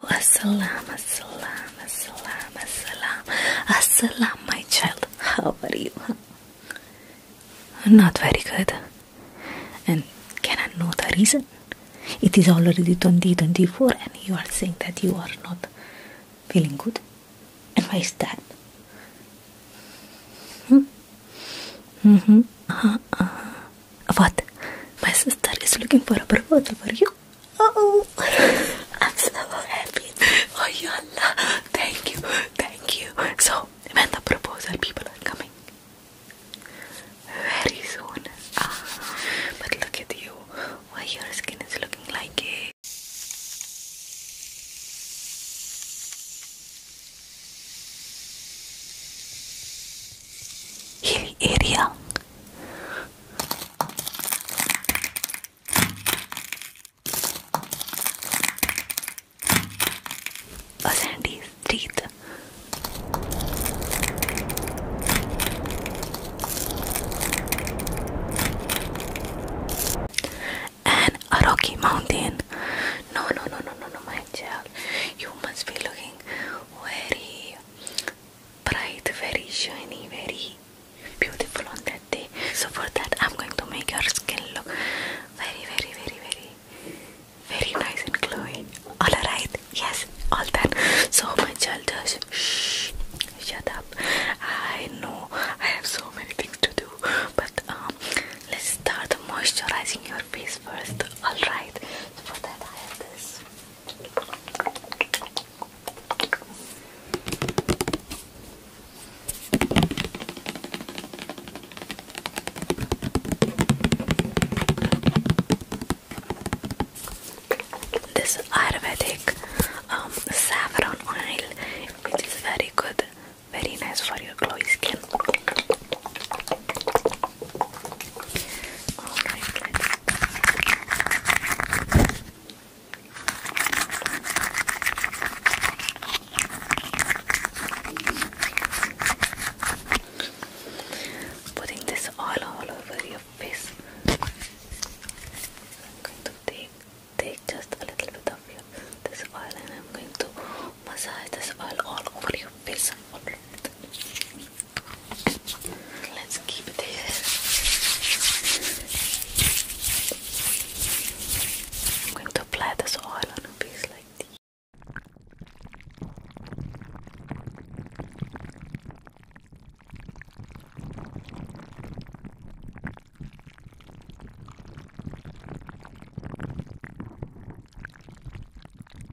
Assalam, assalam, assalam, assalam, assalam, my child. How are you? Not very good. And can I know the reason? It is already 2024 and you are saying that you are not feeling good. And why is that? Hmm? Mm-hmm. Uh-huh. Uh-huh. What? My sister is looking for a proposal for you. Oh, I'm so happy. Oh, ya Allah. Thank you. Thank you. So, when the proposal people are coming? Very soon. Ah, but look at you. Why your skin is looking like it. Hilly area. A sandy street. And a rocky mountain. No, no, no, no, no, no, my child. You must be looking very bright, very shiny, very beautiful on that day. So for that, I'm going to make your skin look very, very, very, very, very nice and glowing. All right, yes, all that. So my child, just shh, shut up. I know I have so many things to do, but um, let's start moisturizing your face first. All right. for that, I have this this. This Ayurvedic um, saffron oil, which is very good, very nice for your glowy skin. Putting this oil all over your face. going to take, take just a little bit of your, this oil and I'm going to massage this oil all over your face. Alright. Let's keep it here. I'm going to apply this oil on your face like this.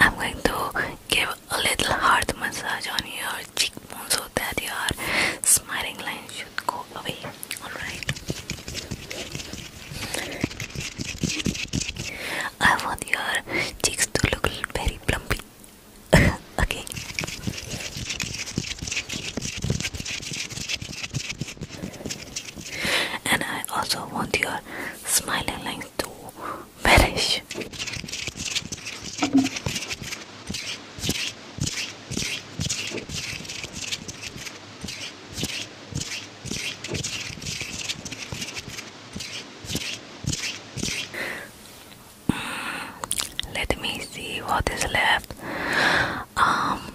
I'm going to give a little heart massage on your cheekbone so that your smiling line should go away. Alright. I want your cheeks to look very plumpy. okay and I also want your smiling line to vanish. Mm, let me see what is left. Um,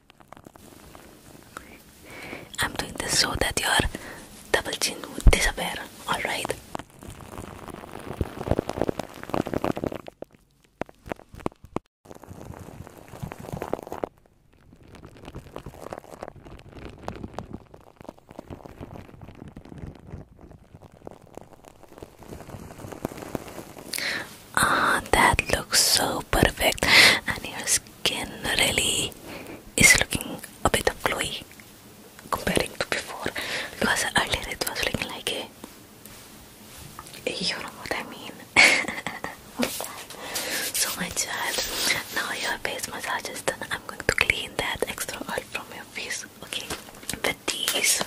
I'm doing this so that your double chin would disappear, alright? Ah, that looks so perfect, and your skin really is looking a bit of glowy comparing to before because earlier it was looking like a you know what I mean. so my child, now your face massage is done. I'm going to clean that extra oil from your face, okay? With these.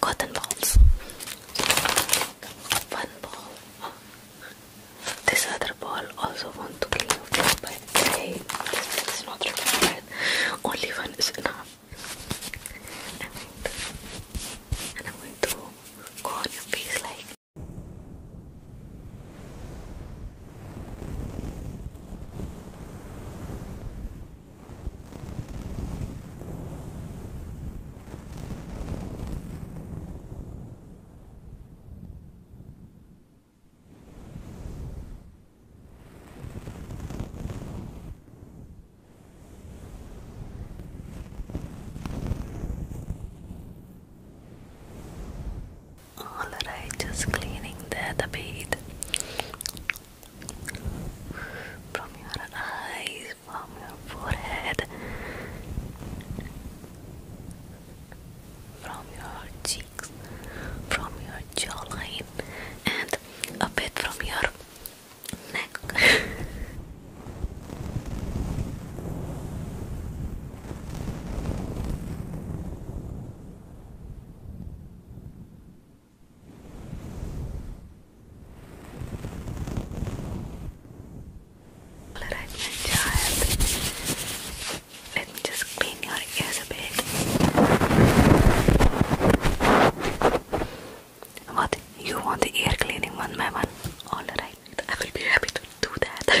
Cotton balls. One ball. This other ball also want to clean up, but hey, this is not required. Only one is enough and I'm going to go on your face like Alright, just cleaning that a bit from your eyes, from your forehead, from your cheeks, from your jawline, and a bit from your neck. Alright, my Let me just clean your ears a bit. What? You want the ear cleaning one by one? Alright, I will be happy to do that.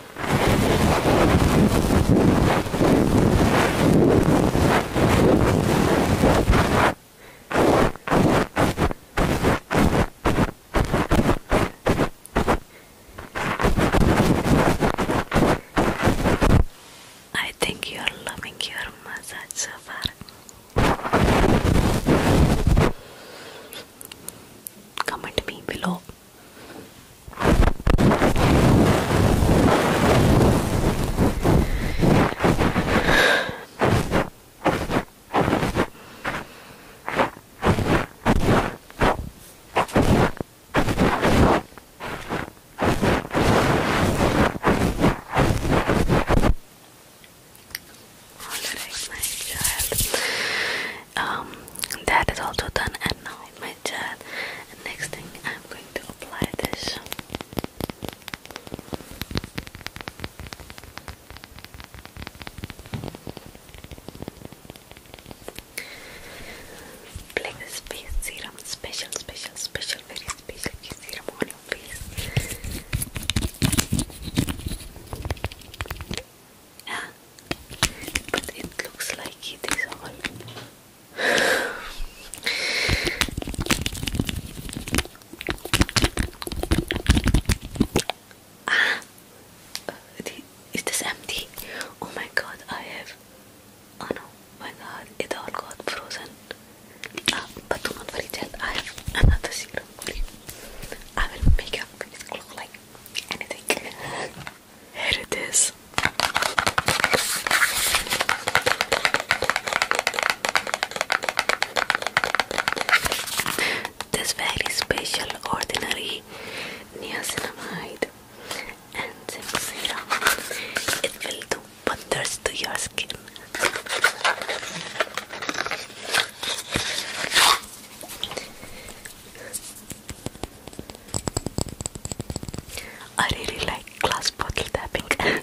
I think you are loving your massage so far. Comment me below all right, my child. Um, that is also done, and now my dad. and next thing I'm going to apply this this face serum, special, special, special, very special serum on your face yeah but it looks like it is all ah is this empty oh my god I have oh no my god it all got frozen uh, but do not worry child I have another serum I will make your face look like anything here it is. This very special ordinary niacinamide and zinc serum. It will do wonders to your skin. I really like glass bottle tapping.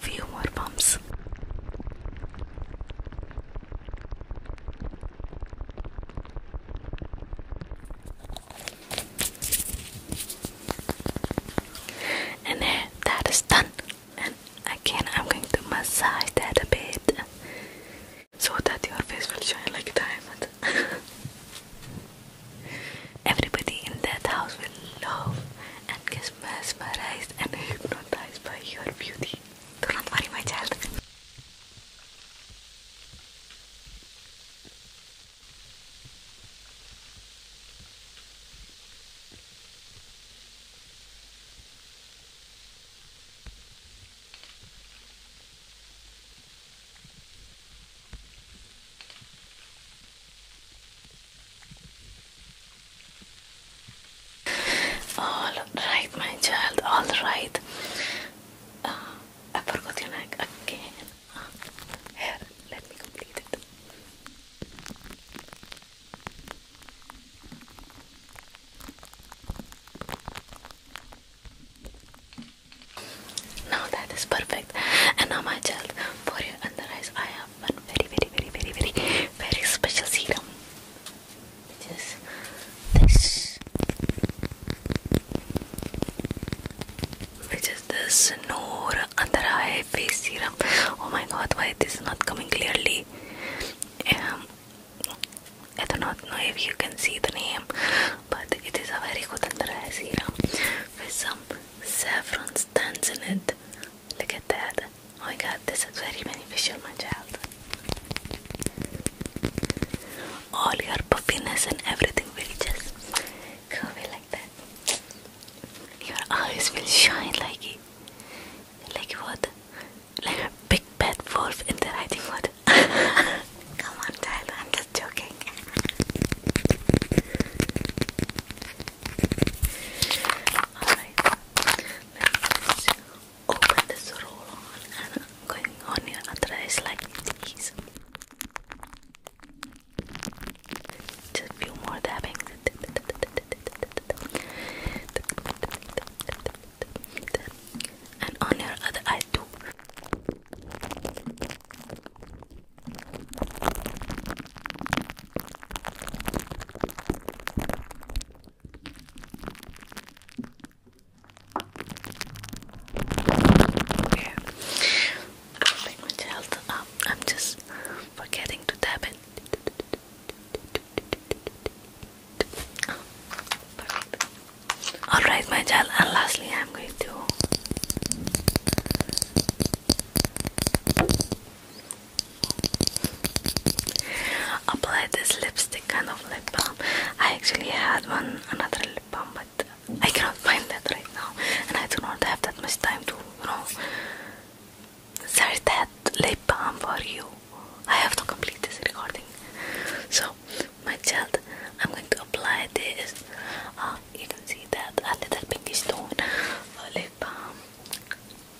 Few more bumps. And there, that is done and again I'm going to massage that a bit so that your face will shine like a diamond everybody in that house will love and get mesmerized and hypnotized by your beauty do not worry my child all right, my child, all right. I forgot your neck again. here, let me complete it. Now that is perfect. And now my child, for your under eyes, I have one very, very, very, very, very, very special serum. Which is this. Which is this Noor Under Eye Face Serum. Oh my god, why it is not coming clearly? Um, I do not know if you can see the name, but it is a very good Andrea serum with some saffron stains in it. Look at that. Oh my god, this is very beneficial, my child. All your puffiness and everything will just go away like that. Your eyes will shine like it. Like what? Like a big bad wolf in the writing hood. Come on, child, I'm just joking. open this roll on going on your other eyes like Just a few more dabbings and on your other eye too. Okay. I'm my health up. Um, I'm just forgetting to tap it. Alright, my child, and lastly, I'm going to apply this lipstick kind of lip balm. I actually had one another lip balm, but I cannot find that right now, and I do not have that much time to, you know, there's that lip balm for you. I have to complete this recording. So, my child, I'm going to apply this. Ah, you can see that a little pinky stone lip balm.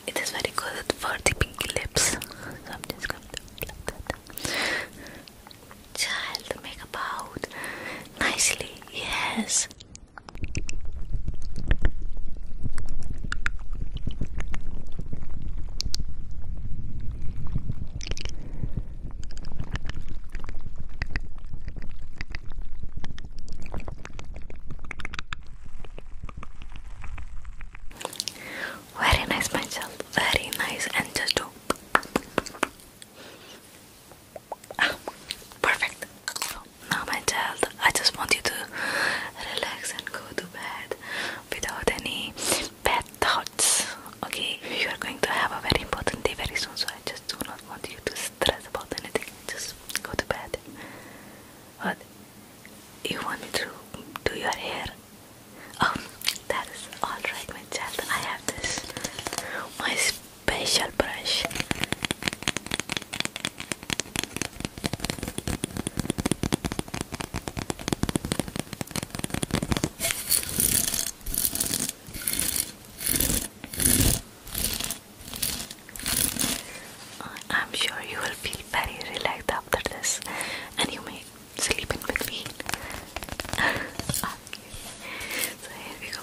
It is very good for the pinky lips. So, I'm just going to make about nicely. Yes. Very nice, my Very nice, and just perfect. Now, my child, I just want you to relax and go to bed without any bad thoughts. Okay, you are going to have a very important day very soon, so I just do not want you to stress about anything. Just go to bed. But You want me to do your hair? Oh, that is alright, my child. I have this. My special brush. Uh, I'm sure you will feel very relaxed after this, and you may sleep in between. so here we go.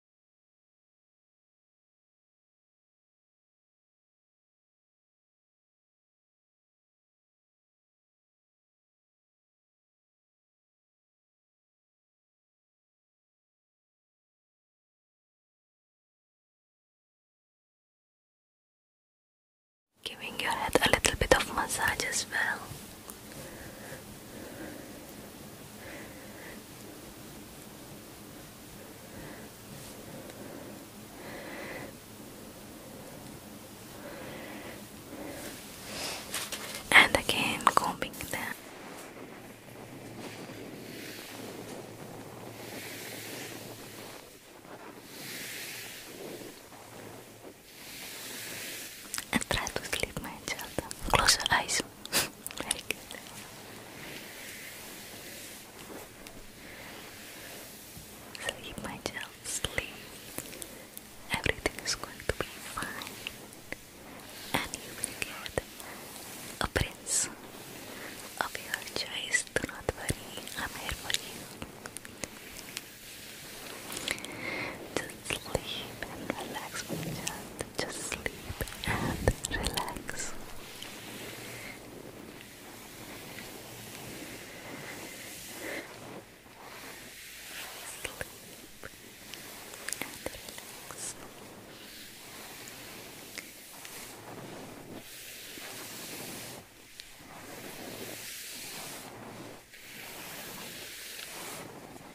Giving your head a little bit of massage as well and again combing them. And try to sleep, my child. Close your eyes. Sleep, my child, sleep. Everything is going to be fine. And you will get a prince of your choice. Do not worry, I'm here for you. Just sleep and relax, my child. Just sleep and relax. Sleep and Relax.